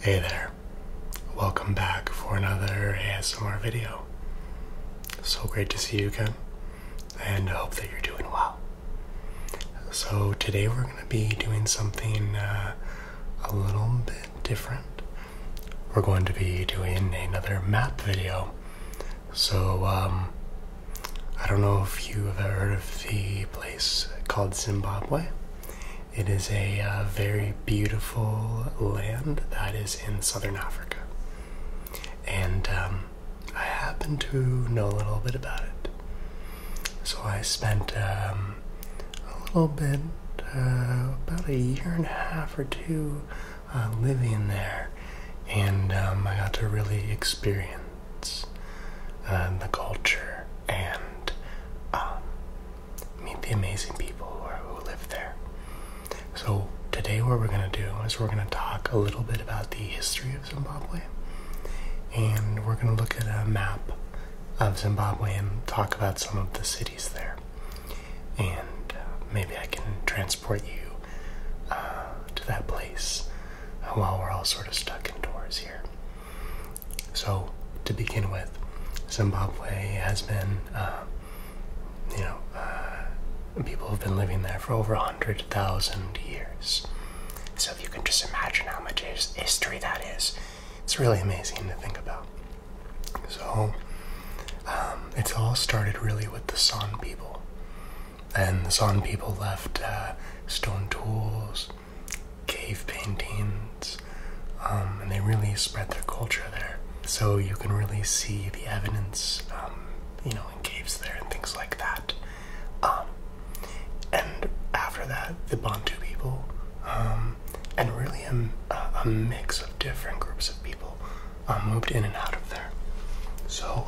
Hey there, welcome back for another ASMR video. So great to see you again, and I hope that you're doing well. So, today we're going to be doing something uh, a little bit different. We're going to be doing another map video. So, um, I don't know if you have ever heard of the place called Zimbabwe. It is a uh, very beautiful land that is in southern Africa. And um, I happen to know a little bit about it. So I spent um, a little bit, uh, about a year and a half or two, uh, living there. And um, I got to really experience the culture and um, meet the amazing people who, live there. So, today, what we're going to do is we're going to talk a little bit about the history of Zimbabwe, and we're going to look at a map of Zimbabwe and talk about some of the cities there. And uh, maybe I can transport you uh, to that place while we're all sort of stuck indoors here. So, to begin with, Zimbabwe has been, uh, you know, uh, people have been living there for over 100,000 years. So, if you can just imagine how much history that is, it's really amazing to think about. So, um, it's all started really with the San people. And the San people left uh, stone tools, cave paintings, um, and they really spread their culture there. So you can really see the evidence, um, you know, in caves there and things like that. Um, and after that, the Bantu people, and really a, mix of different groups of people, moved in and out of there. So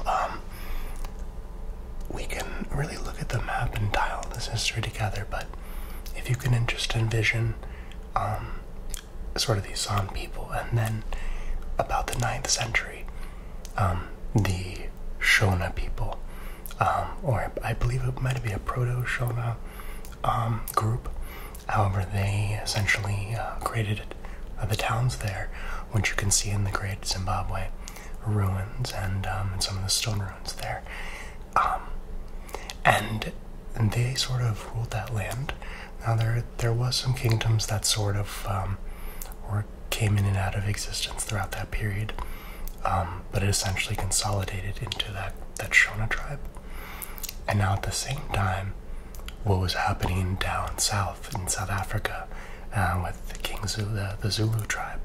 we can really look at the map and dial this history together, but if you can just envision um, sort of these San people, and then about the 9th century, um, the Shona people, um, or I believe it might be a proto Shona group. However, they essentially uh, created uh, the towns there, which you can see in the Great Zimbabwe ruins and some of the stone ruins there. Um, and they sort of ruled that land. Now there there was some kingdoms that sort of um, came in and out of existence throughout that period, um, but it essentially consolidated into that that Shona tribe. And now at the same time, what was happening down south in South Africa uh, with King Zulu, the Zulu tribe,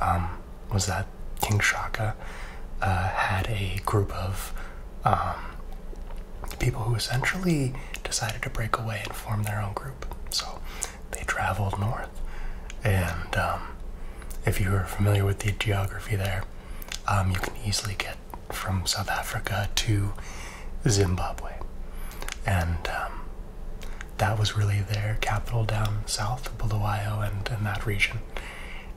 um, was that King Shaka uh, had a group of um, people who essentially decided to break away and form their own group. So they traveled north, and um, if you are familiar with the geography there, you can easily get from South Africa to Zimbabwe, and that was really their capital down south, Bulawayo, and in that region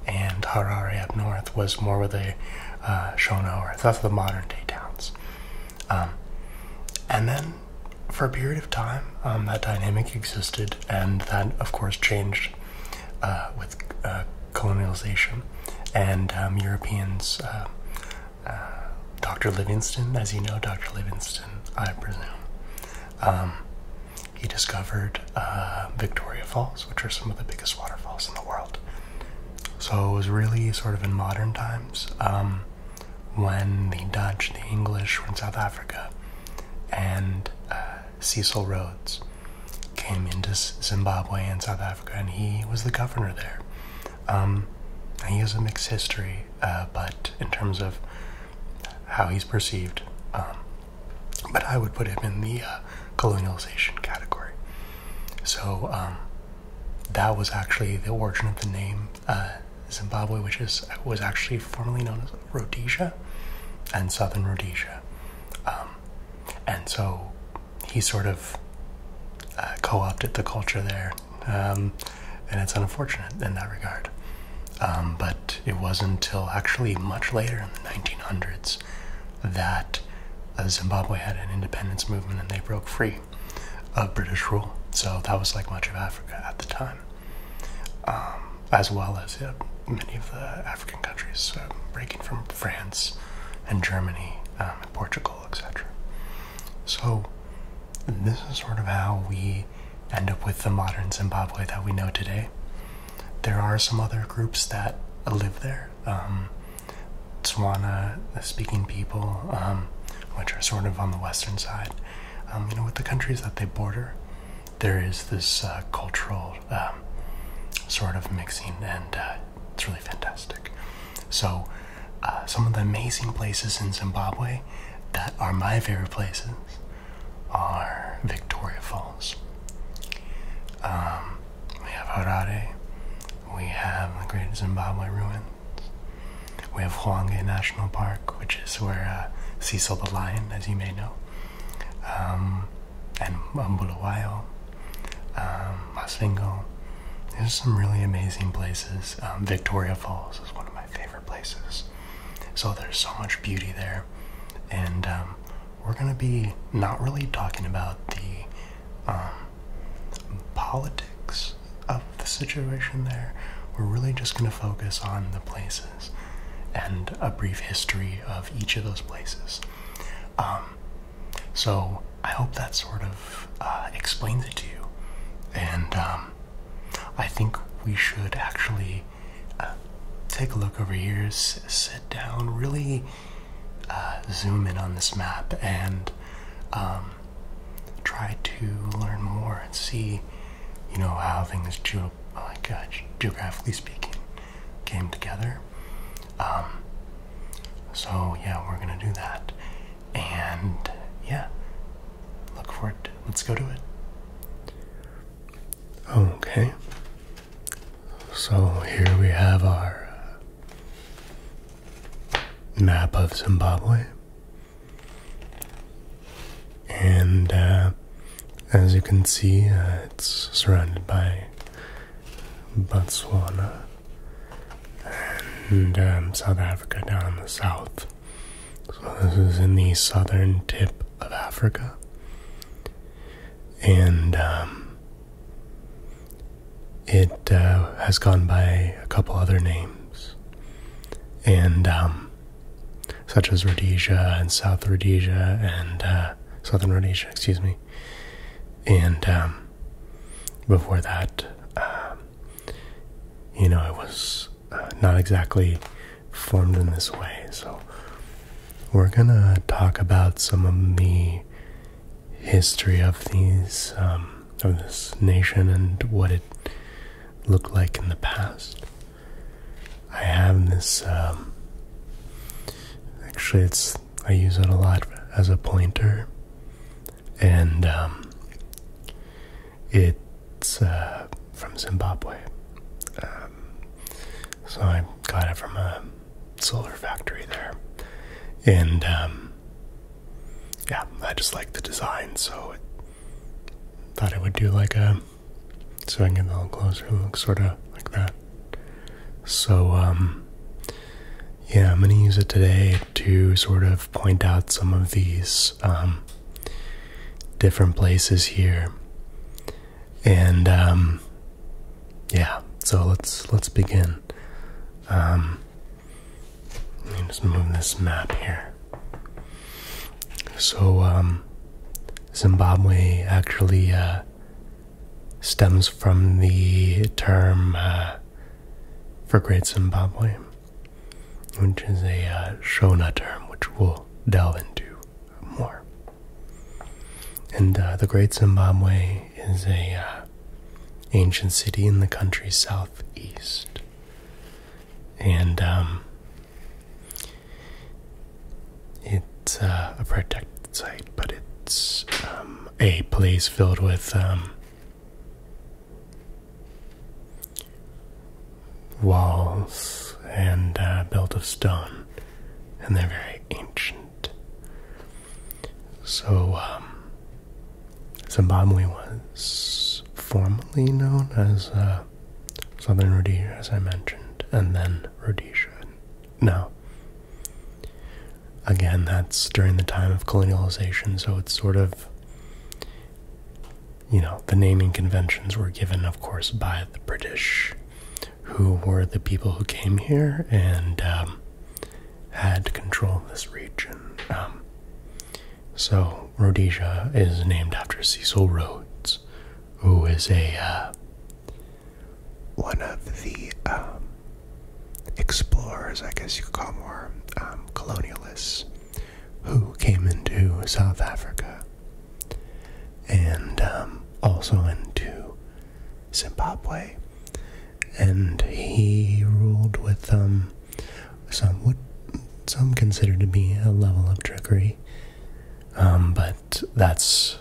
and Harare up north was more with the uh, Shona or that's the modern day towns. Um, and then for a period of time, um, that dynamic existed, and that of course changed uh, with uh, colonialization and um, Europeans. Uh, Dr. Livingston, as you know, Dr. Livingston, I presume, he discovered uh, Victoria Falls, which are some of the biggest waterfalls in the world. So it was really sort of in modern times um, when the Dutch, the English were in South Africa, and uh, Cecil Rhodes came into Zimbabwe and South Africa, and he was the governor there. Um, he has a mixed history, uh, but in terms of how he's perceived, um, but I would put him in the uh, colonialization category. So um, that was actually the origin of the name uh, Zimbabwe, which is was actually formerly known as Rhodesia and Southern Rhodesia, um, and so he sort of uh, co-opted the culture there, um, and it's unfortunate in that regard. Um, but it wasn't until actually much later in the 1900s that uh, Zimbabwe had an independence movement and they broke free of British rule. So that was like much of Africa at the time, um, as well as uh, many of the African countries uh, breaking from France and Germany um, and Portugal, etc. So this is sort of how we end up with the modern Zimbabwe that we know today there are some other groups that live there. Um, Tswana speaking people, um, which are sort of on the western side. Um, you know, with the countries that they border, there is this uh, cultural um, sort of mixing, and uh, it's really fantastic. So, uh, some of the amazing places in Zimbabwe that are my favorite places are Victoria Falls. Um, we have Harare. We have the Great Zimbabwe Ruins. We have Hwange National Park, which is where uh, Cecil the Lion, as you may know, um, and Bulawayo, um, Masingo. There's some really amazing places. Um, Victoria Falls is one of my favorite places. So there's so much beauty there, and um, we're gonna be not really talking about the um, politics of the situation there. We're really just gonna focus on the places and a brief history of each of those places. Um, so I hope that sort of uh, explains it to you, and I think we should actually uh, take a look over here, sit down, really uh, zoom in on this map and um, try to learn more and see, you know, how things uh, geographically speaking came together. Um, so yeah, we're gonna do that, and yeah, look forward. let's go do it. Okay. So here we have our uh, map of Zimbabwe. And uh, as you can see, uh, it's surrounded by Botswana and um, South Africa down in the south. So, this is in the southern tip of Africa and um, it uh, has gone by a couple other names, and um, such as Rhodesia and South Rhodesia and uh, Southern Rhodesia, excuse me, and um, before that, you know, it was uh, not exactly formed in this way. So, we're gonna talk about some of the history of these, um, of this nation and what it looked like in the past. I have this, um, actually, it's I use it a lot as a pointer, and um, it's. Uh, from Zimbabwe. Um, so I got it from a solar factory there. And um, yeah, I just like the design, so I thought I would do like a so I can get a little closer look, sort of like that. So um, yeah, I'm gonna use it today to sort of point out some of these different places here and um, yeah, so let's let's begin. Um, let me just move this map here. So um, Zimbabwe actually uh, stems from the term uh, for Great Zimbabwe, which is a uh, Shona term, which we'll delve into more. And uh, the Great Zimbabwe is a uh, ancient city in the country's southeast, and um, it's uh, a protected site, but it's um, a place filled with um, walls and built of stone and they're very ancient. So, um, Zimbabwe was formerly known as uh, Southern Rhodesia, as I mentioned, and then Rhodesia. Now, again, that's during the time of colonialization, so it's sort of, you know, the naming conventions were given, of course, by the British who were the people who came here and um, had control of this region. Um, so Rhodesia is named after Cecil Rhodes, who is a uh, one of the um, explorers, I guess you could call more colonialists, who came into South Africa and um, also into Zimbabwe. And he ruled with um, some what some consider to be a level of trickery, um, but that's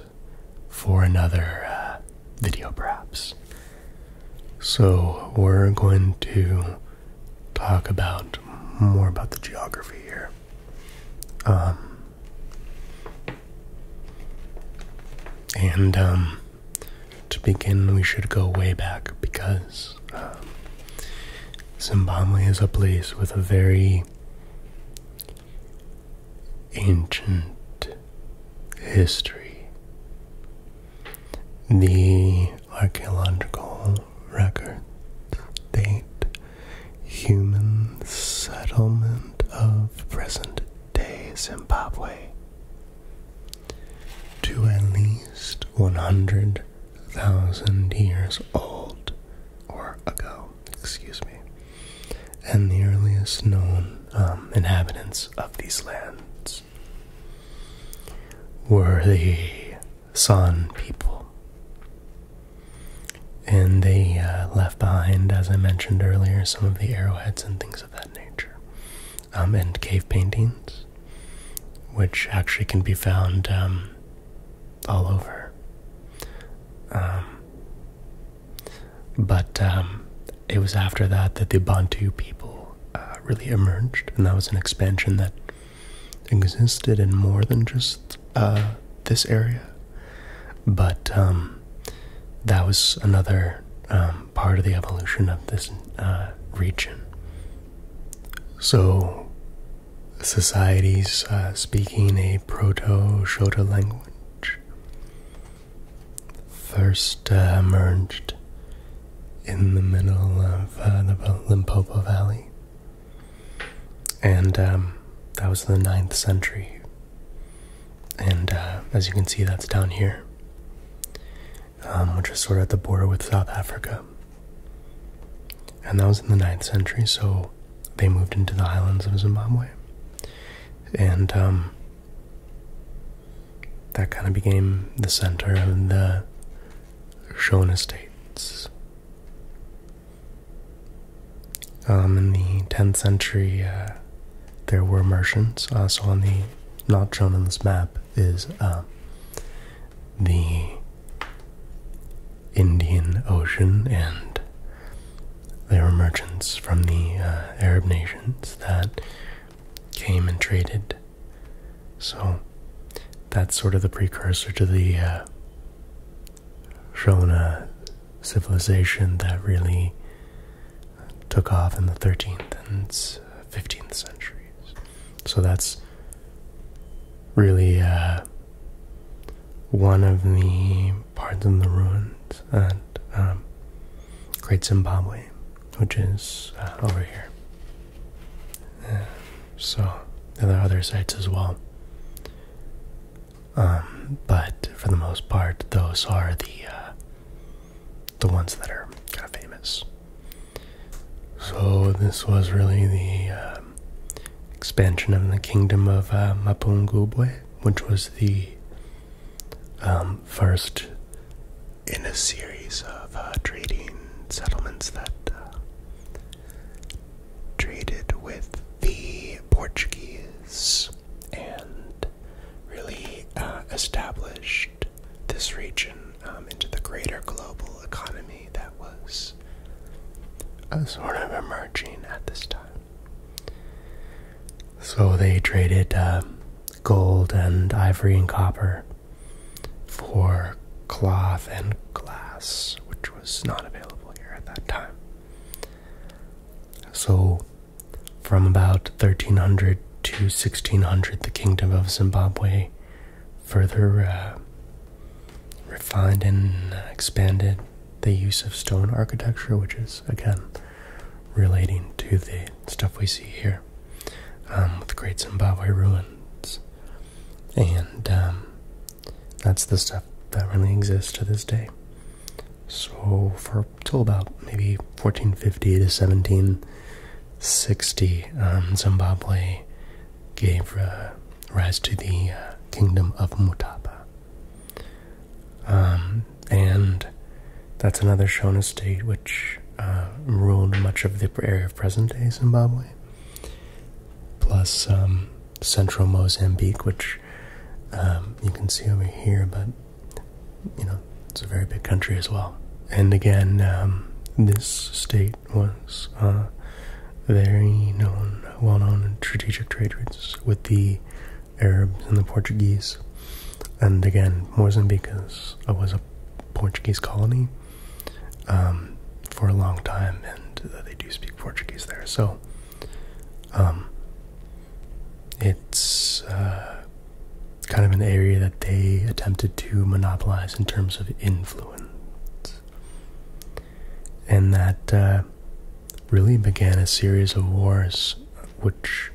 for another uh, video, perhaps. So we're going to talk about more about the geography here. And um, to begin, we should go way back because um, Zimbabwe is a place with a very ancient history. The archaeological records date human settlement of present day Zimbabwe to at least 100,000 years old or ago, excuse me, and the earliest known um, inhabitants of these lands were the San people. And they uh, left behind, as I mentioned earlier, some of the arrowheads and things of that nature. Um, and cave paintings, which actually can be found um, all over. Um, but it was after that that the Bantu people uh, really emerged, and that was an expansion that existed in more than just uh, this area. But um, that was another um, part of the evolution of this uh, region. So, societies uh, speaking a Proto Shota language first uh, emerged in the middle of the Limpopo Valley. And um, that was the 9th century and uh, as you can see, that's down here, um, which is sort of at the border with South Africa. And that was in the 9th century, so they moved into the highlands of Zimbabwe. And um, that kind of became the center of the Shona states. Um, in the 10th century, uh, there were merchants. Also, uh, on the not shown on this map is um, the Indian Ocean, and there were merchants from the uh, Arab nations that came and traded. So, that's sort of the precursor to the shown a civilization that really took off in the 13th and 15th centuries. So that's really uh, one of the parts in the ruins at um, Great Zimbabwe, which is uh, over here. so there are other sites as well. Um, but for the most part, those are the uh, the ones that are kind of famous. So this was really the um, expansion of the kingdom of uh, Mapungubwe, which was the um, first in a series of uh, trading settlements that traded with the Portuguese and really uh, established this region um, into the greater global economy that was uh, sort of emerging at this time. So they traded um, gold and ivory and copper for cloth and glass, which was not available here at that time. So from about 1300 to 1600, the Kingdom of Zimbabwe further uh, refined and expanded the use of stone architecture, which is again relating to the stuff we see here um, with Great Zimbabwe ruins. And um, that's the stuff that really exists to this day. So for till about maybe 1450 to 1760, um, Zimbabwe gave uh, rise to the uh, Kingdom of Mutapa, um, and that's another Shona state which uh, ruled much of the area of present-day Zimbabwe, plus um, central Mozambique, which um, you can see over here, but you know, it's a very big country as well. And again, um, this state was uh, very known, well known strategic trade routes with the Arabs and the Portuguese. And again, Mozambique is, uh, was a Portuguese colony um, for a long time, and they do speak Portuguese there. So um, it's uh, kind of an area that they attempted to monopolize in terms of influence, and that uh, really began a series of wars which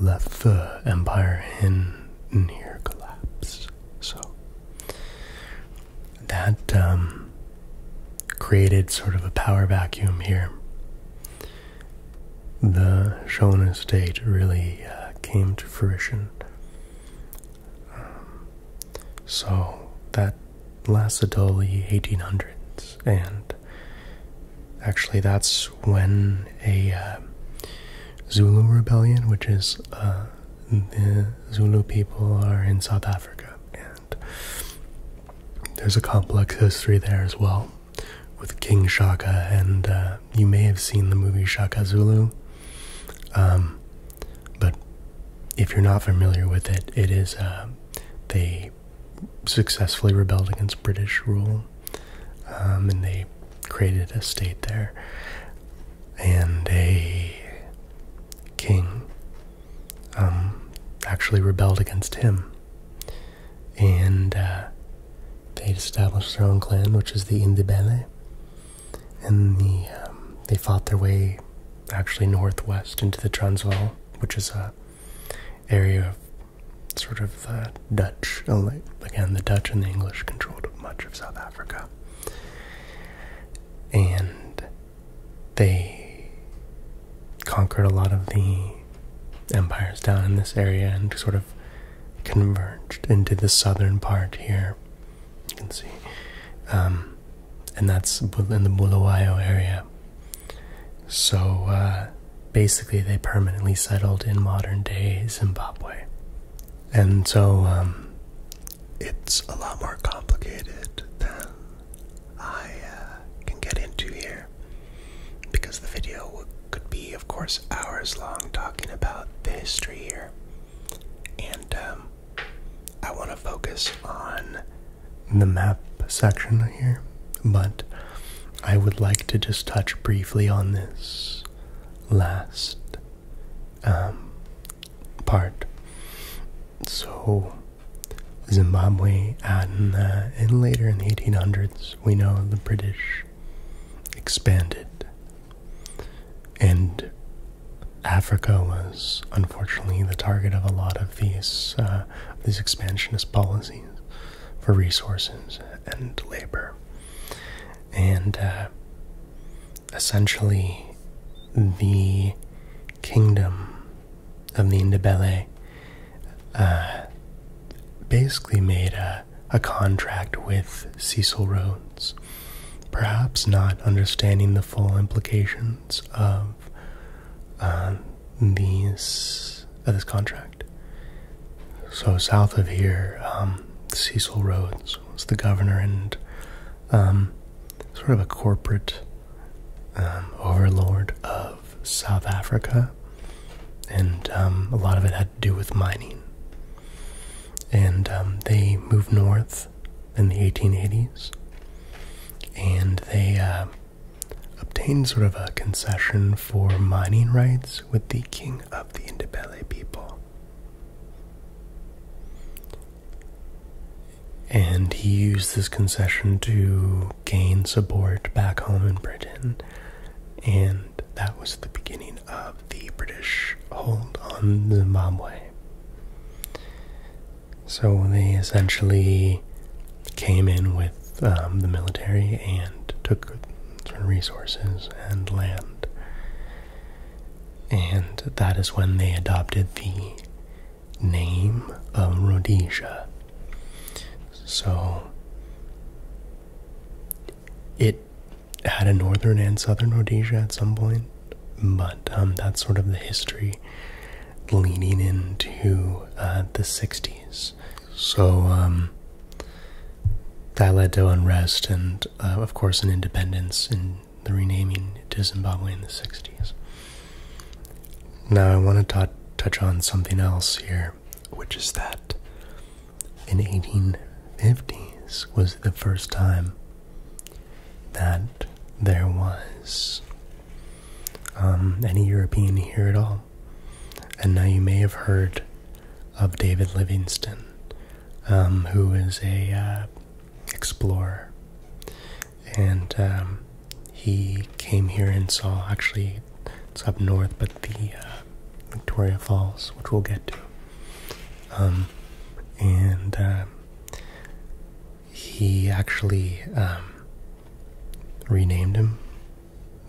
left the empire in near collapse. So that um, created sort of a power vacuum here. The Shona state really uh, came to fruition. Um, so that lasted 1800s, and actually, that's when a uh, Zulu rebellion, which is uh, the Zulu people, are in South Africa there's a complex history there as well with King Shaka, and uh, you may have seen the movie Shaka Zulu. Um, but if you're not familiar with it, it is uh, they successfully rebelled against British rule, um, and they created a state there and a king um, actually rebelled against him. And uh, they established their own clan, which is the Indibele. And the, um, they fought their way actually northwest into the Transvaal, which is a area of sort of the uh, Dutch. Only. Uh, again, the Dutch and the English controlled much of South Africa. And they conquered a lot of the empires down in this area and sort of converged into the southern part here. You can see. Um, and that's in the Bulawayo area. So uh, basically, they permanently settled in modern day Zimbabwe. And so um, it's a lot more complicated than I uh, can get into here because the video could be, of course, hours long talking about the history here. And um, I want to focus on the map section here, but I would like to just touch briefly on this last um, part. So, Zimbabwe, and, uh, later in the 1800s, we know the British expanded. And Africa was unfortunately the target of a lot of these, uh, these expansionist policies for resources and labor. And uh, essentially, the kingdom of de Bellay uh, basically made a, a contract with Cecil Rhodes, perhaps not understanding the full implications of uh, these of this contract. So south of here, um, Cecil Rhodes was the governor and um, sort of a corporate um, overlord of South Africa, and um, a lot of it had to do with mining. And um, they moved north in the 1880s, and they uh, obtained sort of a concession for mining rights with the king of the Indebele people. And he used this concession to to support back home in Britain, and that was the beginning of the British hold on Zimbabwe. So they essentially came in with um, the military and took resources and land. And that is when they adopted the name of Rhodesia. So it had a northern and southern Rhodesia at some point, but um, that's sort of the history leading into uh, the 60s. So that um, led to unrest and, uh, of course, an independence and the renaming to Zimbabwe in the 60s. Now, I want to touch on something else here, which is that in 1850s was the first time that there was um, any European here at all. And now you may have heard of David Livingstone, um, who is a uh, explorer, and um, he came here and saw actually it's up north but the uh, victoria falls which we'll get to um, and uh, he actually um, renamed him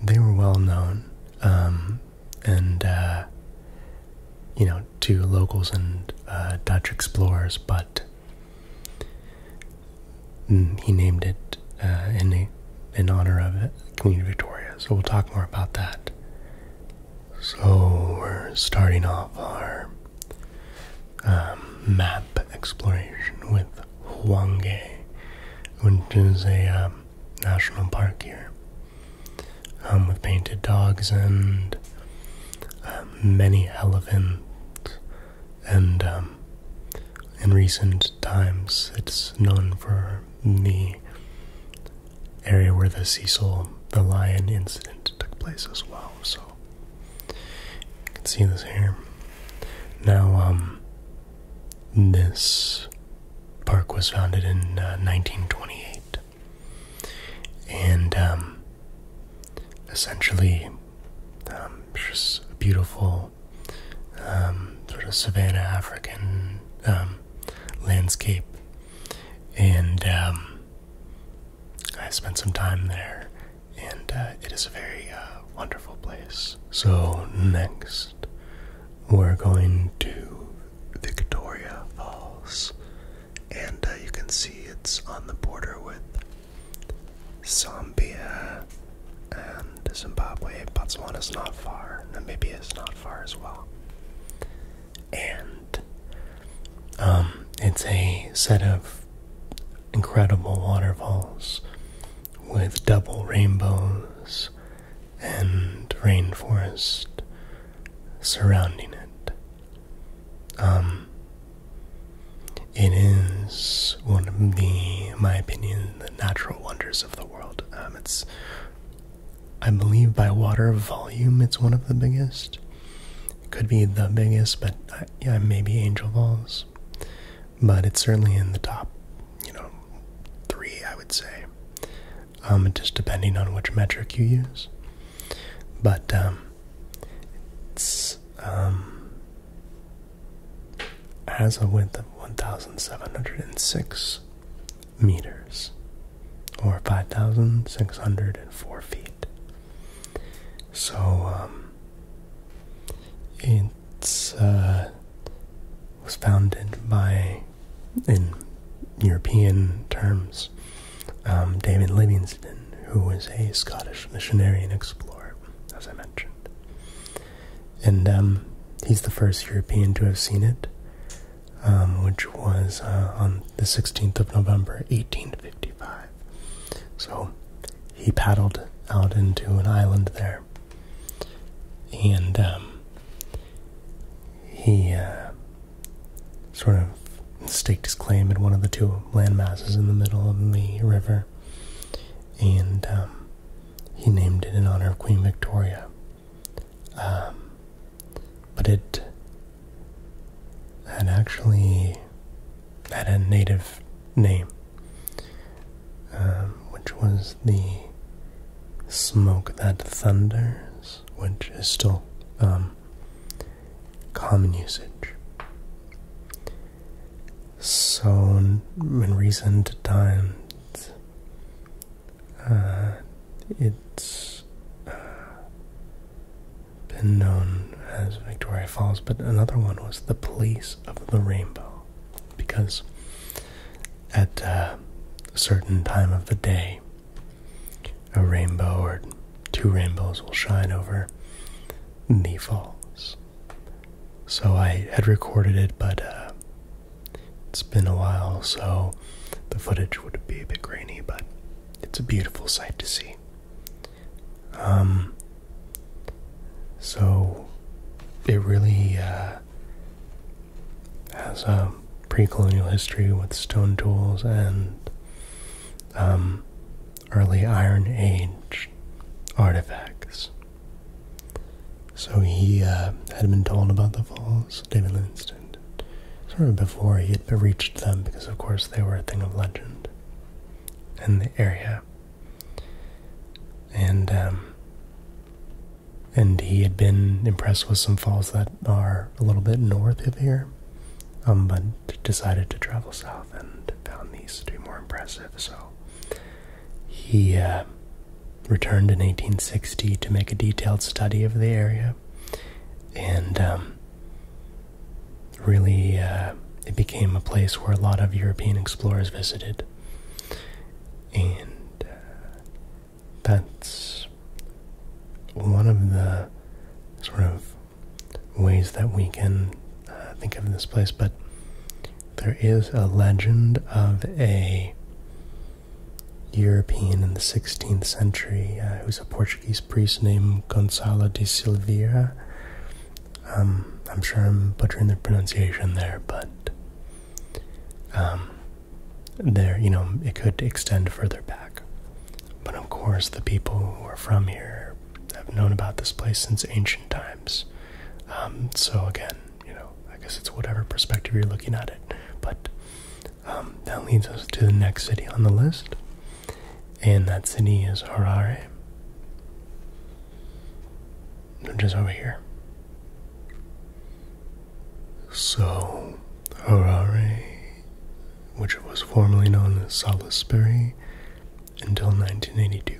they were well known um, and uh, you know to locals and dutch explorers but Mm, he named it uh, in, in honor of Queen Victoria. So we'll talk more about that. So we're starting off our um, map exploration with Huanghe, which is a um, national park here, um, with painted dogs and many elephants and um, in recent times it's known for the area where the Cecil the Lion incident took place as well. So you can see this here. Now, um, this park was founded in 1928, uh, and um, essentially, um, just beautiful um, sort of savannah African um, landscape, and um, I spent some time there, and uh, it is a very uh, wonderful place. So next, we're going to Victoria Falls, and uh, you can see it's on the border with Zambia and Zimbabwe. Botswana's not far. Namibia is not far as well. And um, it's a set of incredible waterfalls with double rainbows and rainforest surrounding it. Um, it is one of the, my opinion, the natural wonders of the world. Um, it's, I believe, by water volume, it's one of the biggest. It could be the biggest, but uh, yeah, maybe Angel Falls. But it's certainly in the top, you know, three, I would say. Um, just depending on which metric you use. But um, it's has a width of 1,706 meters or 5,604 feet. So, um, it's, uh, was founded by, in European terms, um, David Livingstone, who was a Scottish missionary and explorer, as I mentioned and um, he's the first European to have seen it, um, which was uh, on the 16th of November, 1855. So he paddled out into an island there, and um, he uh, sort of staked his claim at one of the two land masses in the middle of the river, and he named it in honor of Queen Victoria. Um, but it had actually had a native name, um, which was the smoke that thunders, which is still um, common usage. So, in recent time that uh, it's uh, been known as Victoria Falls, but another one was the Police of the Rainbow, because at uh, a certain time of the day, a rainbow or two rainbows will shine over the falls. So I had recorded it, but uh, it's been a while, so the footage would be a bit grainy, but it's a beautiful sight to see. Um, so it really uh, has a pre colonial history with stone tools and um, early Iron Age artifacts. So he uh, had been told about the falls, David Livingston, sort of before he had reached them, because of course they were a thing of legend in the area. And um, and he had been impressed with some falls that are a little bit north of here, um, but decided to travel south and found these to be more impressive. So he uh, returned in 1860 to make a detailed study of the area, and um, really uh, it became a place where a lot of European explorers visited. And uh, that's one of the sort of ways that we can uh, think of this place, but there is a legend of a European in the 16th century uh, who's a Portuguese priest named Gonzalo de Silveira. Um, I'm sure I'm butchering the pronunciation there, but um, there, you know, it could extend further back. But of course, the people who are from here have known about this place since ancient times. Um, so again, you know, I guess it's whatever perspective you're looking at it. But um, that leads us to the next city on the list, and that city is Harare, which is over here. So, Harare, which was formerly known as Salisbury until 1982,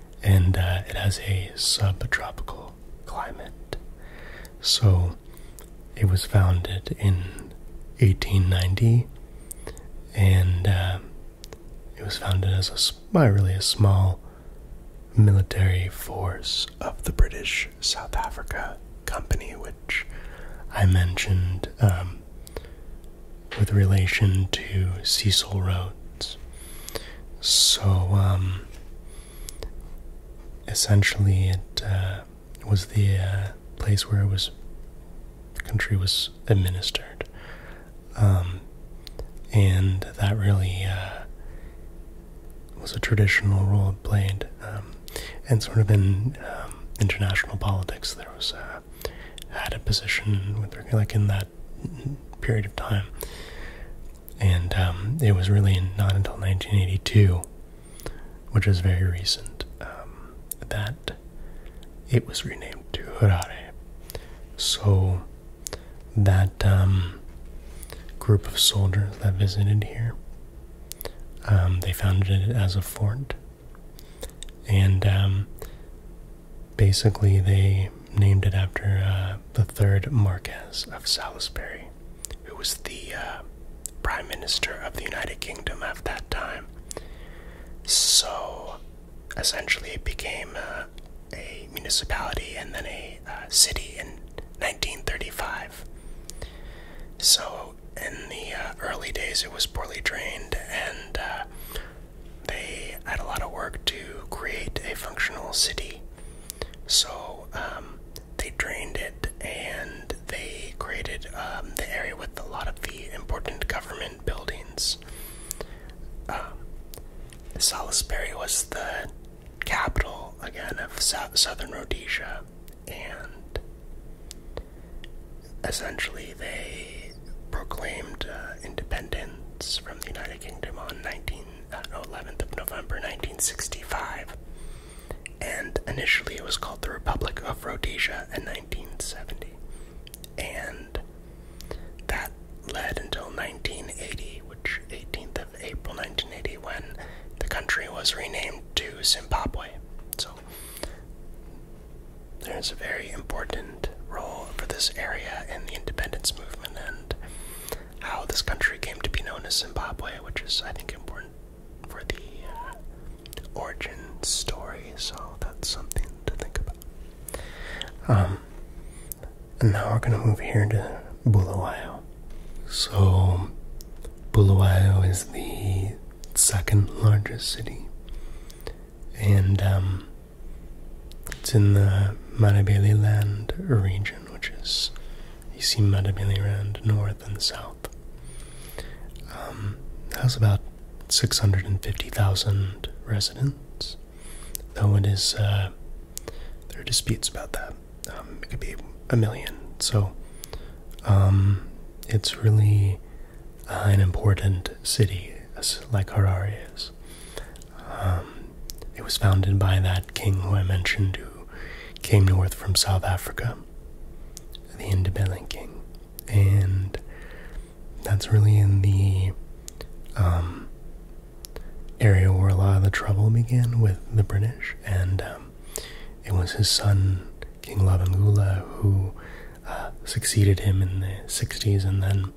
and uh, it has a subtropical climate. So it was founded in 1890, and uh, it was founded as a really a small military force of the British South Africa Company, which I mentioned um, with relation to Cecil Rhodes. So, um, essentially, it uh, was the uh, place where it was the country was administered, um, and that really uh, was a traditional role played, um, and sort of in international politics, there was uh, had a position with like in that period of time. And um, it was really not until 1982, which is very recent, um, that it was renamed to Harare. So that um, group of soldiers that visited here, they founded it as a fort. And basically, they named it after uh, the third Marquess of Salisbury, who was the uh, Prime Minister of the United Kingdom at that time. So, essentially, it became uh, a municipality and then a city in 1935. So, in the early days, it was poorly drained and they had a lot of work to create a functional city. So um, they drained it and they created um, the area with a lot of the important government buildings. Um, Salisbury was the capital again of southern Rhodesia, and essentially they proclaimed uh, independence from the United Kingdom on 11th uh, of November 1965, and initially it was called the Republic of Rhodesia in 1970, and that led until 1980, which 18th of April 1980, when the country was renamed to Zimbabwe. So there's a very important role for this area in the independence movement and how this country came to be known as Zimbabwe, which is, I think, important for the uh, origin story, so that's something to think about. Um, and now we're going to move here to Bulawayo. So, Bulawayo is the second largest city, and um, it's in the Matabele Land region, which is you see Matabele Land north and south. Um, has about 650,000 residents, though it is uh, there are disputes about that. Um, it could be a million, so um, it's really uh, an important city, like Harare is. Um, it was founded by that king who I mentioned who came north from South Africa, the Indebele King. And that's really in the um, area where a lot of the trouble began with the British. And um, it was his son, King Lavangula, who uh, succeeded him in the 60s and then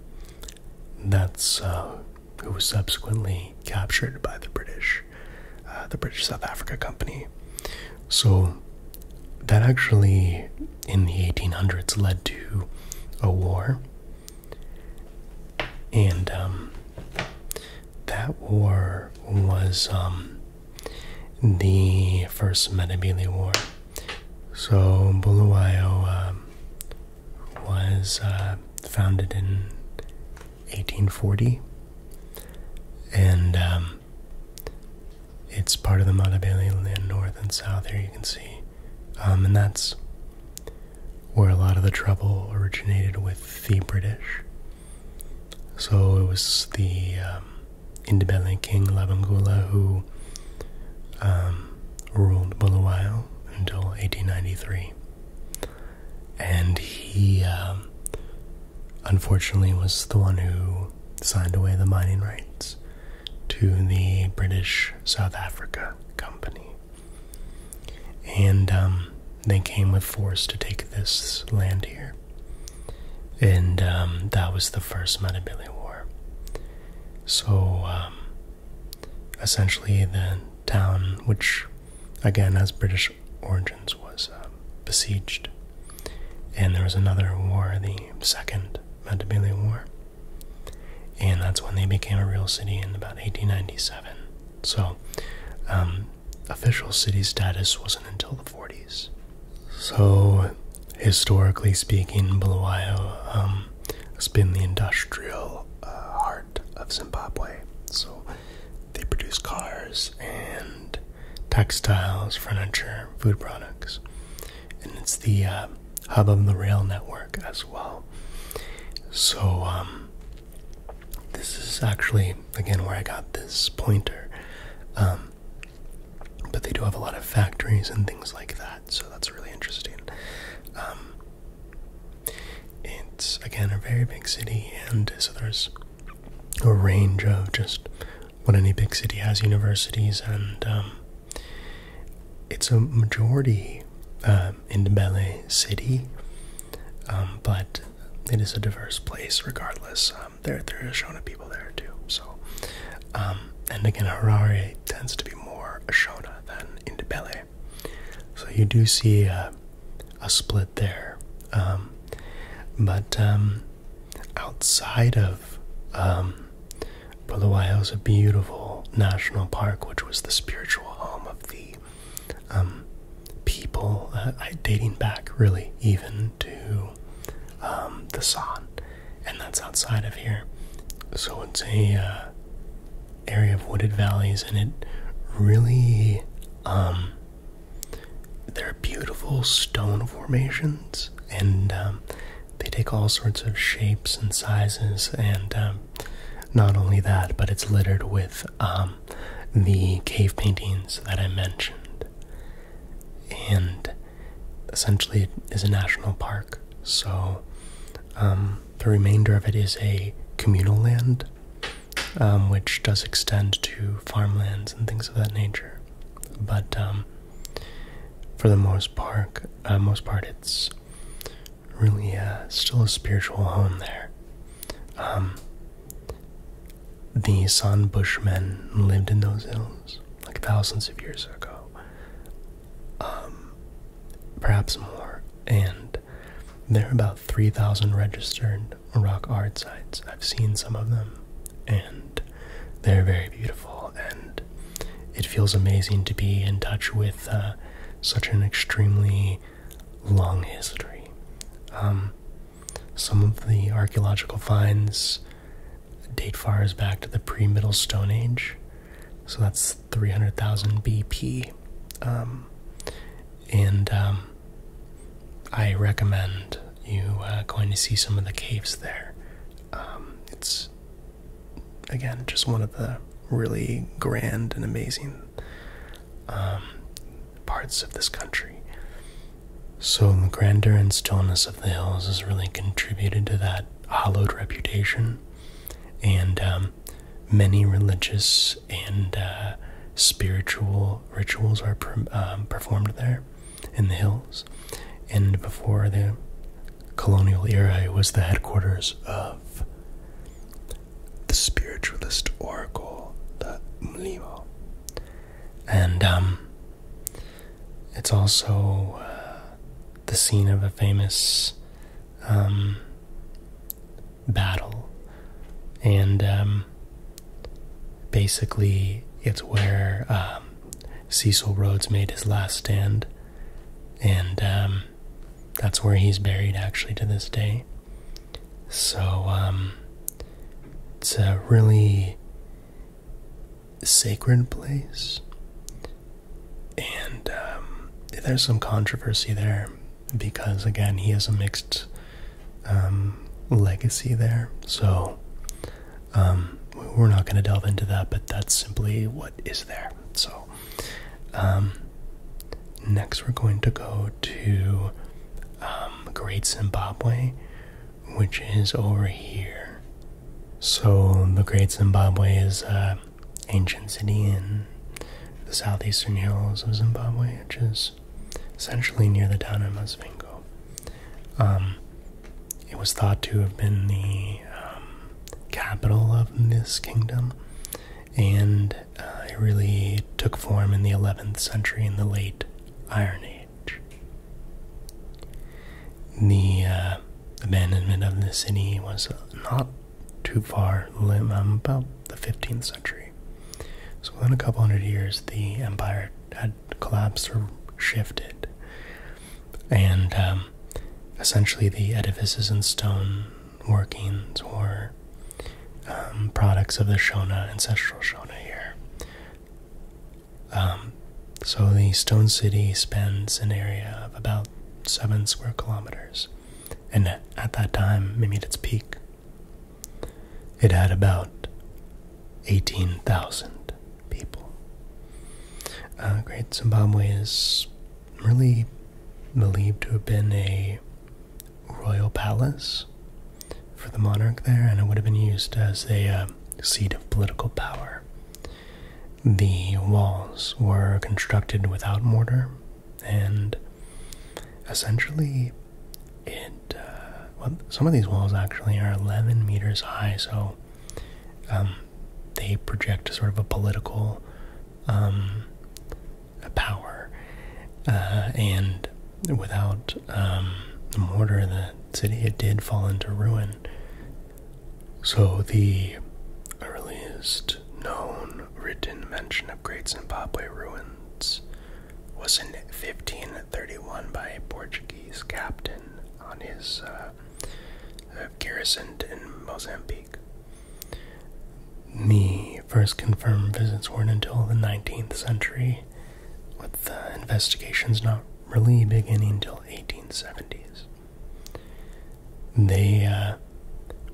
that's uh, who was subsequently captured by the British, uh, the British South Africa Company. So that actually, in the 1800s, led to a war, and um, that war was um, the First Matabele War. So Bulawayo um, was uh, founded in 1840, and um, it's part of the Matabele land, north and south. Here you can see, um, and that's where a lot of the trouble originated with the British. So it was the um, Indibele king Labangula who um, ruled Bulawayo until 1893. And he, um, unfortunately, was the one who signed away the mining rights to the British South Africa Company. And um, they came with force to take this land here. And um, that was the first Matabele War. So essentially the town which again has british origins was uh, besieged and there was another war the second matabele war and that's when they became a real city in about 1897 so um, official city status wasn't until the 40s so historically speaking bulawayo um, um, has been the industrial uh, heart of Zimbabwe. So they produce cars and textiles, furniture, food products, and it's the uh, hub of the rail network as well. So um, this is actually again where I got this pointer. Um, but they do have a lot of factories and things like that, so that's really interesting. Um, it's again a very big city, and so there's a range of just what any big city has universities, and um, it's a majority uh, um, Indebele city, um, but it is a diverse place regardless. there, there are Shona people there too, so. and again, Harare tends to be more Shona than in the belly. So you do see uh, a split there. Um, but um, outside of um, is a beautiful national park, which was the spiritual home of the um, people uh, dating back really even to the San, and that's outside of here. So it's a uh, area of wooded valleys, and it really um, they're beautiful stone formations, and um, they take all sorts of shapes and sizes, and um, not only that, but it's littered with um, the cave paintings that I mentioned, and essentially it is a national park, so the remainder of it is a communal land, um, which does extend to farmlands and things of that nature. But um, for the most part, uh, most part, it's really uh, still a spiritual home there. Um, the San Bushmen lived in those hills like thousands of years ago. Um, perhaps more. And there are about 3,000 registered rock art sites. I've seen some of them, and they're very beautiful. And it feels amazing to be in touch with uh, such an extremely long history. Um, some of the archaeological finds date far as back to the pre Middle Stone Age. So that's 300,000 BP. Um, and um, I recommend you uh, going to see some of the caves there. Um, it's, again, just one of the really grand and amazing parts of this country. So the grandeur and stillness of the hills has really contributed to that hollowed reputation and um, many religious and uh, spiritual rituals are um, performed there in the hills. And before the colonial era, it was the headquarters of the spiritualist oracle, the Mlimo. And um, it's also uh, the scene of a famous um, battle, and um, basically it's where um, Cecil Rhodes made his last stand, and that's where he's buried actually to this day. So it's a really sacred place and um, there's some controversy there because again he has a mixed um, legacy there so um, we're not going to delve into that but that's simply what is there so next we're going to go to great zimbabwe which is over here so the great zimbabwe is uh, ancient city in the southeastern hills of Zimbabwe, which is essentially near the town of Masvingo. Um, it was thought to have been the um, capital of this kingdom, and uh, it really took form in the 11th century in the late Iron Age. The uh, abandonment of the city was not too far um, about the 15th century. So within a couple hundred years, the empire had collapsed or shifted, and um, essentially the edifices and stone workings were um, products of the Shona, ancestral Shona here. so the stone city spans an area of about seven square kilometers and at that time, maybe at its peak, it had about 18,000 people. Uh, great Zimbabwe is really believed to have been a royal palace for the monarch there, and it would have been used as a uh, seat of political power. The walls were constructed without mortar and essentially it uh, well some of these walls actually are 11 meters high so um, they project sort of a political um, power uh, and without um, the mortar in the city it did fall into ruin so the earliest known written mention of Great Zimbabwe ruins was in 1531 by a Portuguese captain on his uh, uh, garrisoned in Mozambique. The first confirmed visits weren't until the 19th century, with investigations not really beginning until 1870s. They uh,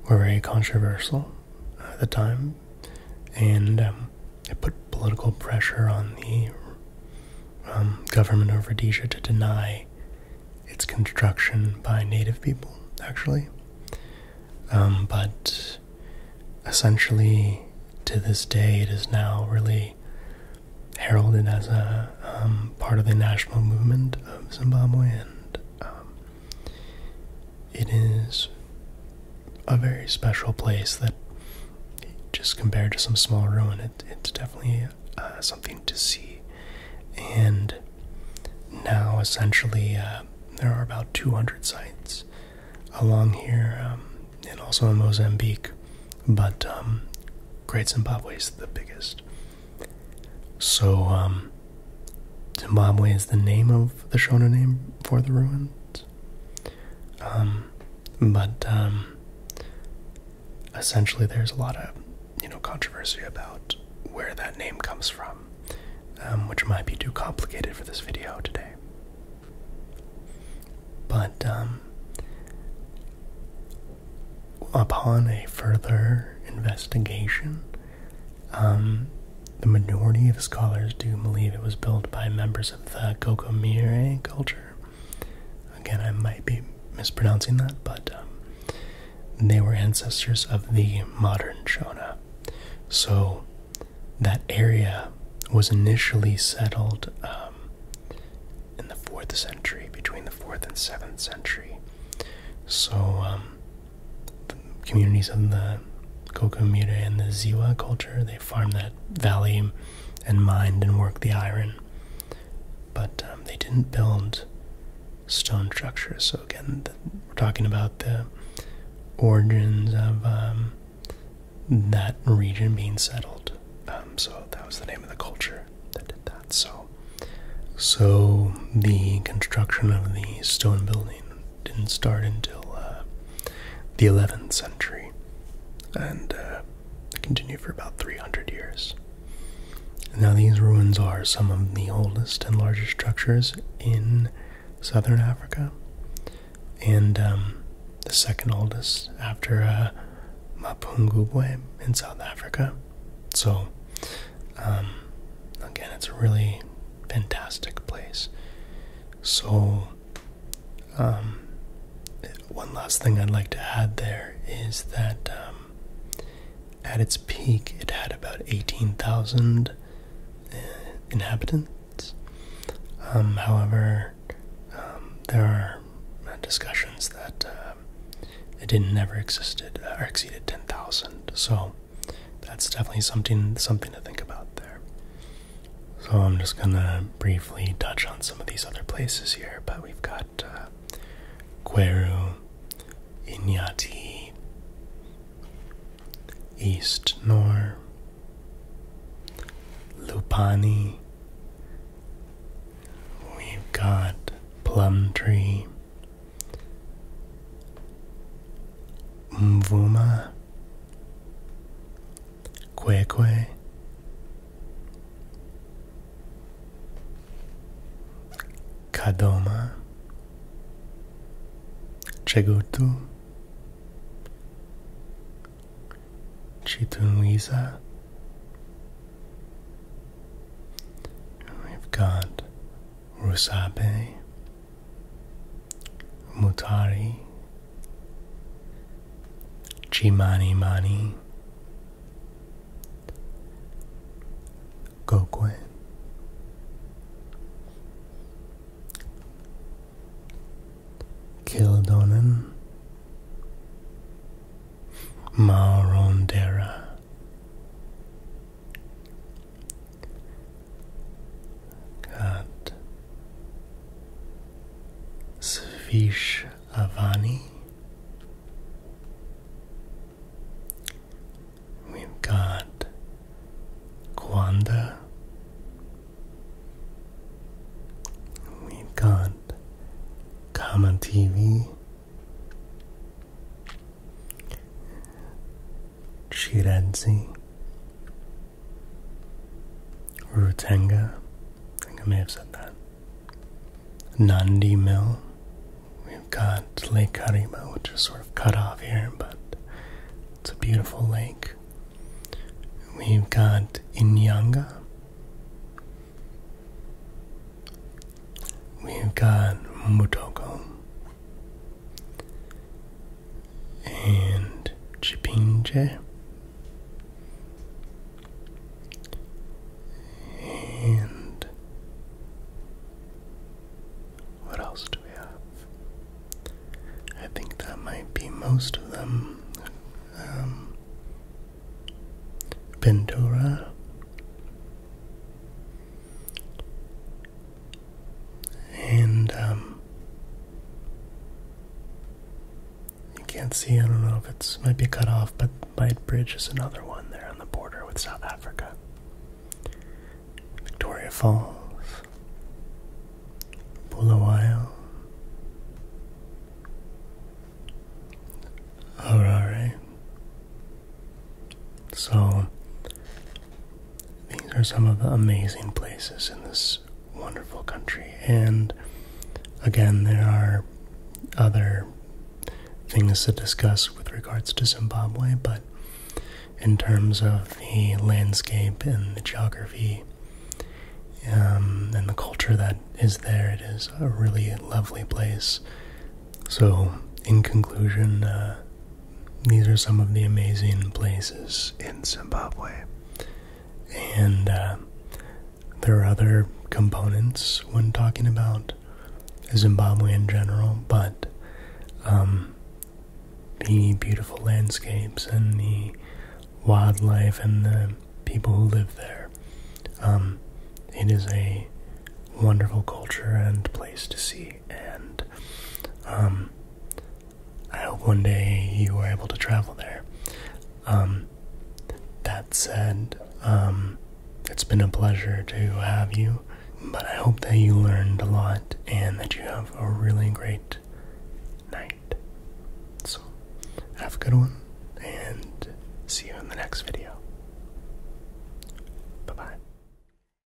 were very controversial at the time, and um, it put political pressure on the um, government of Rhodesia to deny its construction by native people, actually. Um, but essentially, to this day, it is now really heralded as a part of the national movement of Zimbabwe and it is a very special place that, just compared to some small ruin, it's definitely uh, something to see. And now, essentially, uh, there are about 200 sites along here um, and also in Mozambique, but um, Great Zimbabwe is the biggest. So, um, Zimbabwe is the name of the Shona name for the ruins. Um, but um, essentially, there's a lot of you know controversy about where that name comes from, which might be too complicated for this video today. But upon a further investigation, um, the majority of scholars do believe it was built by members of the Kokomire culture. Again, I might be mispronouncing that, but um, they were ancestors of the modern Shona. So that area was initially settled um, in the 4th century, between the 4th and 7th century. So communities of the Kokumira and the Ziwa culture. They farmed that valley and mined and worked the iron. But um, they didn't build stone structures. So, again, we're talking about the origins of um, that region being settled. Um, so, that was the name of the culture that did that. So, so the construction of the stone building didn't start until uh, the 11th century and uh, continued for about 300 years. Now, these ruins are some of the oldest and largest structures in southern Africa, and um, the second oldest after uh, Mapungubwe in South Africa, so, um, again, it's a really fantastic place. So, um, one last thing I'd like to add there is that um, at its peak, it had about 18,000 uh, inhabitants. however, there are discussions that uh, it didn't never existed uh, or exceeded 10,000. So that's definitely something something to think about there. So I'm just gonna briefly touch on some of these other places here, but we've got uh, Queru, Inyati, East Nor, Lupani. We've got Plum Tree, Mvuma Kwekwe Kadoma Chagutu, Chitunwiza We've got Rusape. Mutari, Chimani Mani, Gokwe, Kildonan, Marondera got Svish Avani. We've got Gwanda. We've got Kama TV. Shiranzi, rutenga I think I may have said that. Nandi Mill. We've got Lake Karima, which is sort of cut off here, but it's a beautiful lake. We've got Inyanga. We've got Mutoko and Chipinge and what else do we have? I think that might be most of them. Um, and um, you can't see. I don't know if it's might be cut off, but White Bridge is another one there on the border with South Africa. Victoria Falls, Bulawayo, Harare. So these are some of the amazing places in this wonderful country, and again, there are other things to discuss with regards to Zimbabwe, but in terms of the landscape and the geography um, and the culture that is there, it is a really lovely place. So, in conclusion, uh, these are some of the amazing places in Zimbabwe. And uh, there are other components when talking about Zimbabwe in general, but um, the beautiful landscapes and the wildlife and the people who live there. Um, it is a wonderful culture and place to see and um, I hope one day you are able to travel there. Um, that said, um, it's been a pleasure to have you, but I hope that you learned a lot and that you have a really great night. So, have a good one, and see you in the next video. Bye bye.